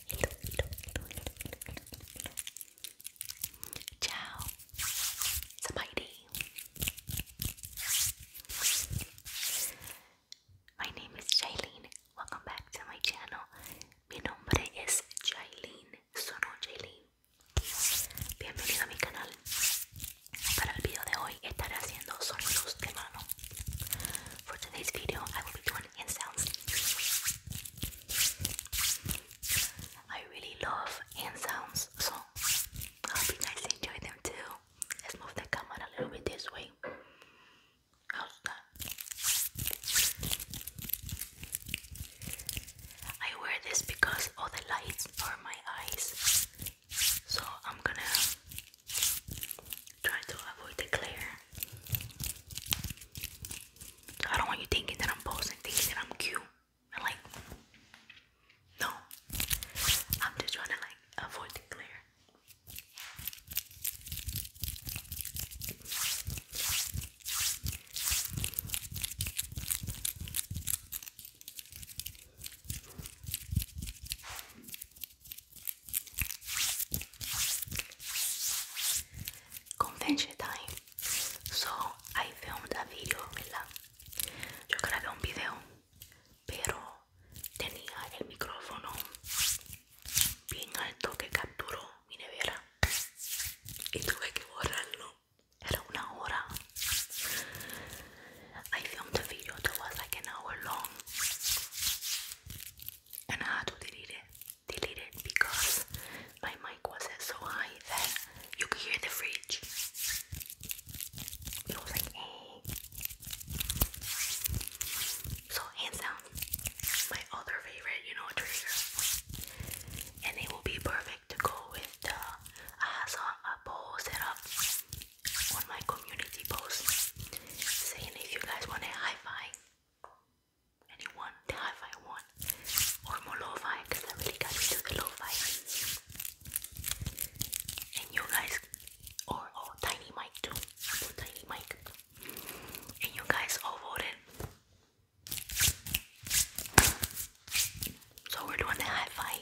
hilo, Chao. Somebody. My name is Jailene. Welcome back to my channel. Mi nombre es Jailene. Sono Jailene. Bienvenido a mi canal. Para el video de hoy estaré haciendo sonidos de mano. For today's video, I will be doing hand sounds. I really love hand sounds, so I hope you guys enjoy them too. Let's move the camera a little bit this way. How's that? I wear this because all the lights are my eyes, so I'm gonna try to avoid the glare. I don't want you thinking that I'm posting, things that I'm cute. I'm like, no. I'm just trying to like avoid the glare. Convention time. So I filmed a video, ¿verdad? Yo grabé un video, pero tenía el micrófono bien alto que capturó mi nevera y tuve que borrarlo. Era una hora. I filmed a video that was like an hour long. and I had to delete it, delete it because my mic was so high that you could hear the fridge. It was like, hey. Eh. So hands down, my other favorite, you know, trigger, and it will be perfect to go with the. I have a poll set up on my community post saying if you guys want a hi-fi anyone, the hi-fi one, or more lo-fi, because I really got to the lo-fi. And you guys, or oh, Tiny Mic too, Apple Tiny Mic. And you guys all voted. So we're doing the hi-fi.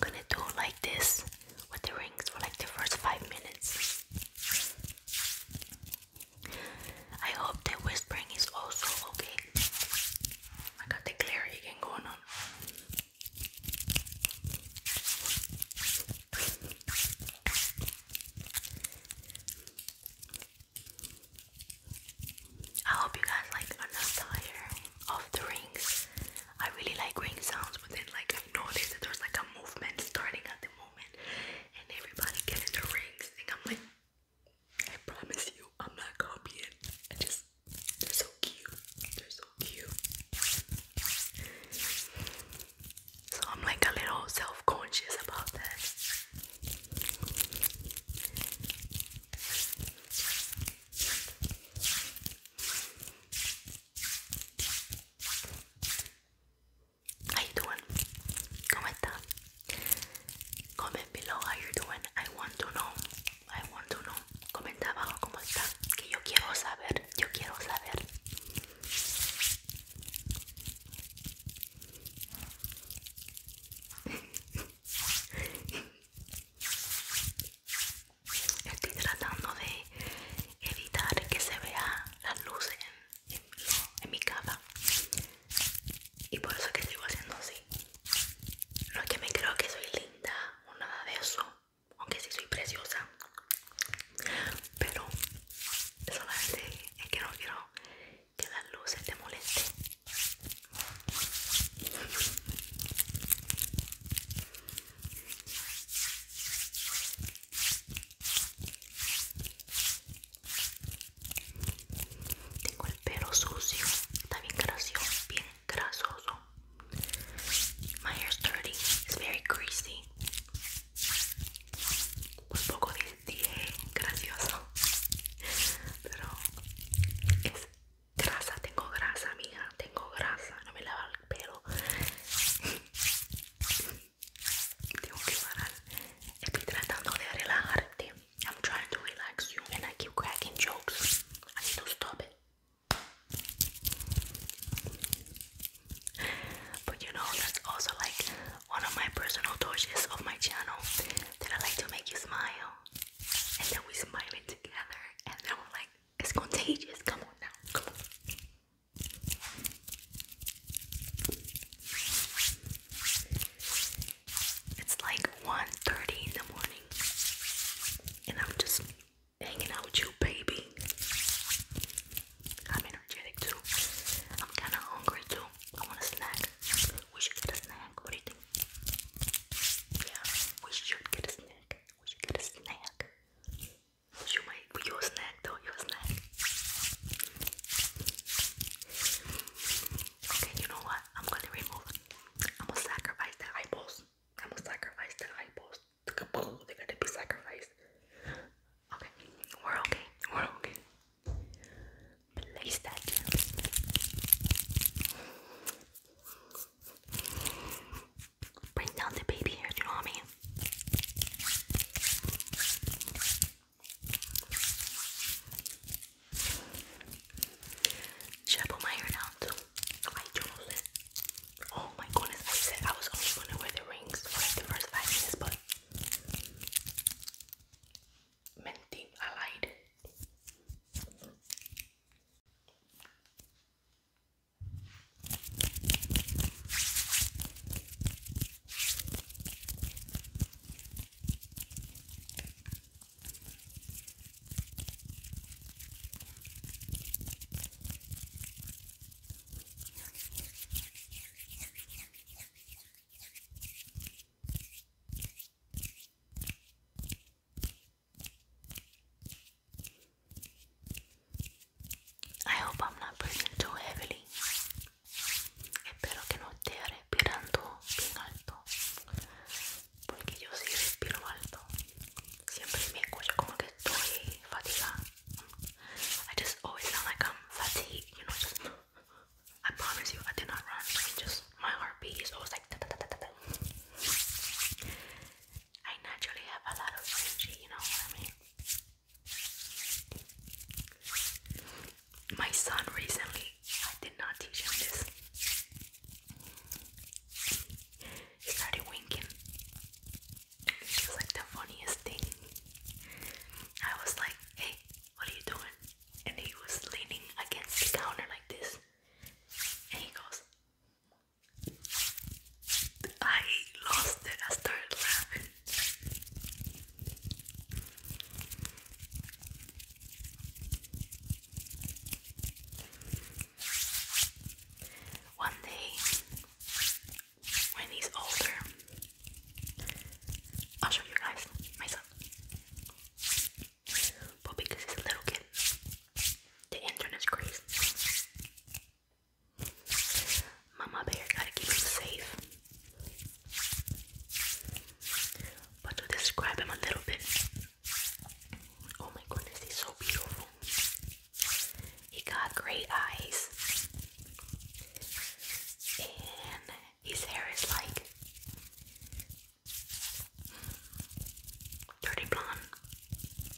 I'm gonna do like this with the rings for like the first five minutes. I hope the whispering is also okay. I got the glare again going on. I hope you guys like are not tired of the rings. I really like ring sounds, but then like I noticed that there's like a movement starting at the moment, and everybody getting the rings. And I'm like, I promise you, I'm not copying. I just they're so cute. They're so cute. So I'm like a little self-conscious about that. How you doing? ¿Cómo está? Comment below how you doing. I want to know. I want to know. Comenta abajo cómo estás Que yo quiero saber. Yo quiero saber. Estoy tratando de evitar que se vea las luces en, mi casa y por eso que estoy haciendo así. No es que me creo que soy linda o nada de eso, aunque sí soy preciosa, pero solamente es que no quiero que las luces te molesten. Tengo el pelo sucio, está bien gracioso, bien grasoso. My hair's dirty, it's very greasy. un pues poco dije gracioso, pero es Grasa, tengo grasa, mija, tengo grasa. No me lava el pelo. I'm trying to relax you and I keep cracking jokes. I need to stop it. But you know, that's also like one of my personal touches of my channel that I like to make you smile and then we smiling together, and then we're like, it's contagious. Come on now, come on. It's like 1.30 in the morning, and I'm just hanging out with you, baby. I'm energetic too. I'm kind of hungry too. I want a snack. We should get a snack. What do we should get a snack. We should get a snack. You might your snack though, your snack. Okay, you know what? I'm gonna remove I'm gonna sacrifice the eyeballs. I'm gonna sacrifice the eyeballs. They gotta be sacrificed. Okay, we're okay. We're okay place that Bring down the baby hair, do you know what I mean? Should I put my hair down too? I chose it. Oh my goodness, I said I was only gonna wear the rings for the first five minutes, but Menting, I lied. I hope I'm not breathing too heavily. Espero que no esté respirando bien alto. Porque yo sí respiro alto. Siempre me escucho como que estoy fatigada. I just always feel like I'm fatigued, you know, just I promise you, I did not run. I just my heart heartbeat is always like. Da, da, da, da, da. I naturally have a lot of energy. You know what I mean. My son recently, I did not teach him this. He started winking. It was like the funniest thing. I was like, hey, what are you doing? and he was leaning against the counter like this, and he goes, I lost it. I started laughing. One day, when he's older, I'll show you guys myself. But because he's a little kid, the internet is crazy. Mama bear gotta keep him safe. But to describe him a little bit, oh my goodness, he's so beautiful. He got great eyes. And his hair is like Dirty blonde.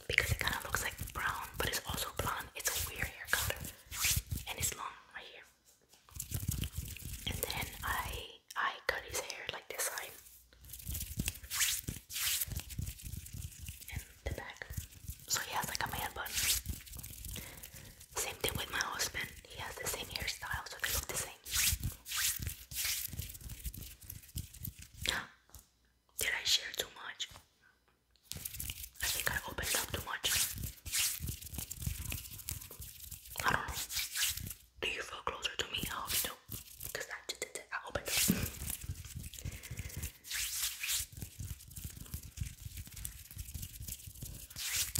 Because it kind of looks like brown, but it's also blonde. It's a weird hair color. And it's long right here. And then I I cut his hair like this side. And the back. So he has like a man bun. Same thing with my husband. He has the same hairstyle, so they look the same. Did I share too much? I think I opened up too much. I don't know. Do you feel closer to me? I hope you Because I, I opened up.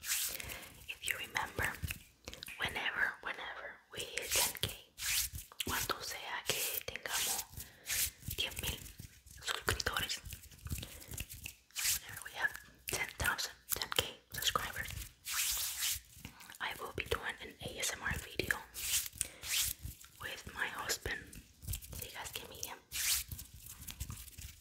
If you remember, whenever, whenever we hit 10k, cuando sea que tengamos 10.000 suscriptores, whenever we have 10,000, k subscribers, I will be doing an ASMR video with my husband. So you guys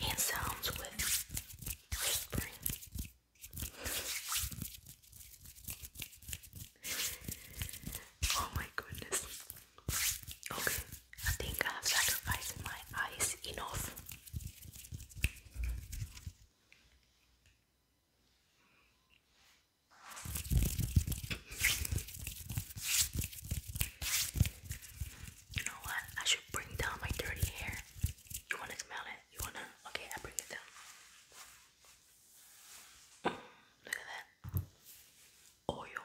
hand sounds with whispering. Oh my goodness. Okay, I think I have sacrificed my eyes enough. You know what? I should bring down my dirty hair. You wanna smell it? You wanna? Okay, I bring it down. Mm, look at that. Oil.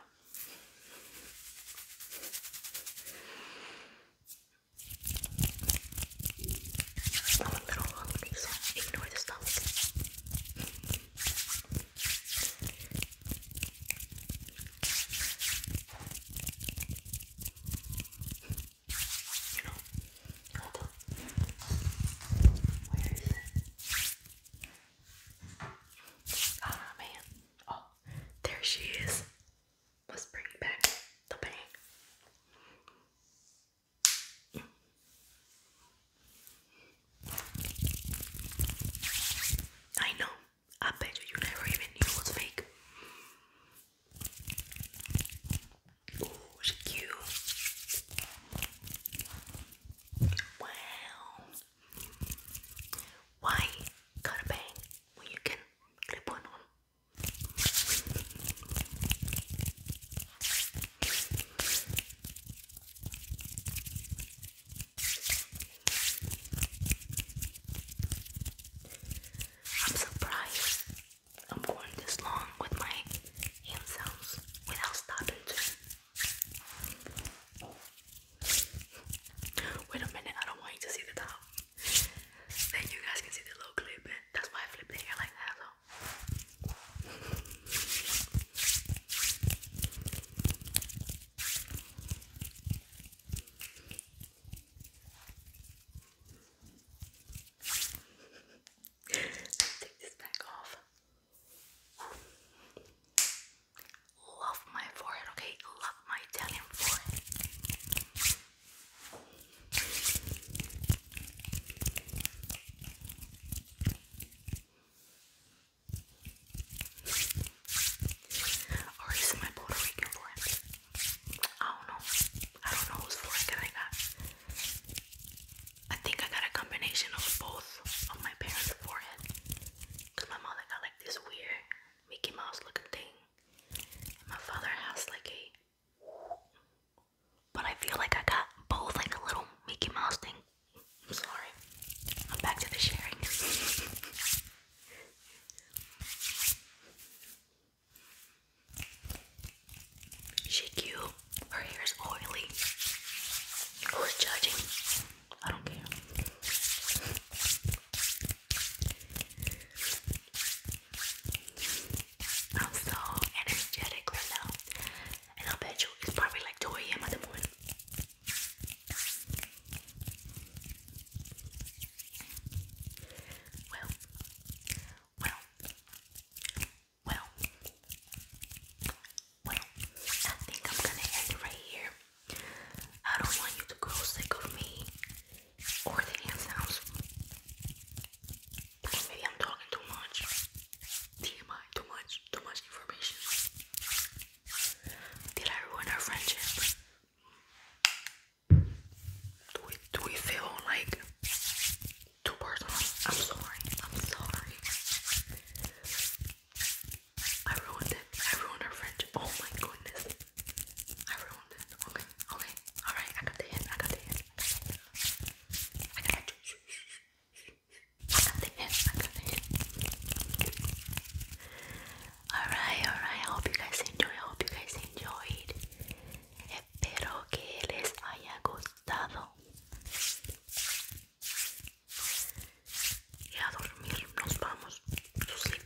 I'm a little hungry, so ignore the stomach. You oh, man. Oh, there she is. Let's bring back the bang. I know. I bet you you never even knew it was fake. Ooh, she cute. Wow. Why cut a bang when you can clip one on? I'm surprised I'm going this long with my hand sounds without stopping Wait a minute, I don't want you to see the top. Then you guys can see the little clip, and that's why I flip the hair like that. So. Take this back off. Love my forehead, okay? Love my Italian forehead. Or is my Puerto Rican friend? I don't know. I don't know whose foreskin I got. I think I got a combination of both of my parents' forehead. Cause my mother got like this weird Mickey Mouse looking thing. my father has like a but I feel like I got both like a little Mickey Mouse thing I'm Sorry, I'm back to the sharing. she cute. Her hair is oily. Who's judging? I don't care. I'm so energetic right now, and I bet you it's probably like 2 a.m. Well, well, well, well, I think I'm gonna end right here. I don't want you to grow sick of me or the hand sounds. Maybe I'm talking too much. TMI, too much, too much information. Did I ruin our friendship? Do we, do we feel like too personal? I'm sorry. I'm sorry. I ruined it. I ruined our friendship. Oh my goodness. I ruined it. Okay. Okay. Alright. I got the hint. I got the hint. I got the hint. Alright, alright, I hope you guys enjoyed, I hope you guys enjoyed. Espero que les haya gustado. Y a dormir, nos vamos. To sleep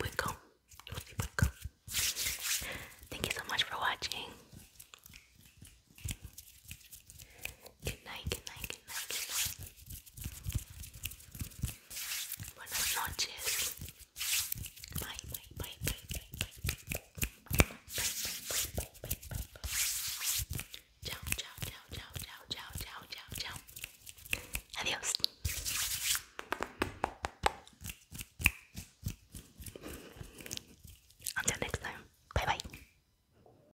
Thank you so much for watching. Good night, good night, good night, good night. Buenas noches. Bye, bye, bye, bye, bye, bye, bye, bye, bye, bye, bye, bye, bye. Ciao, ciao, ciao, ciao, ciao, ciao, ciao, ciao, ciao. Adiós. Until next time. Bye bye.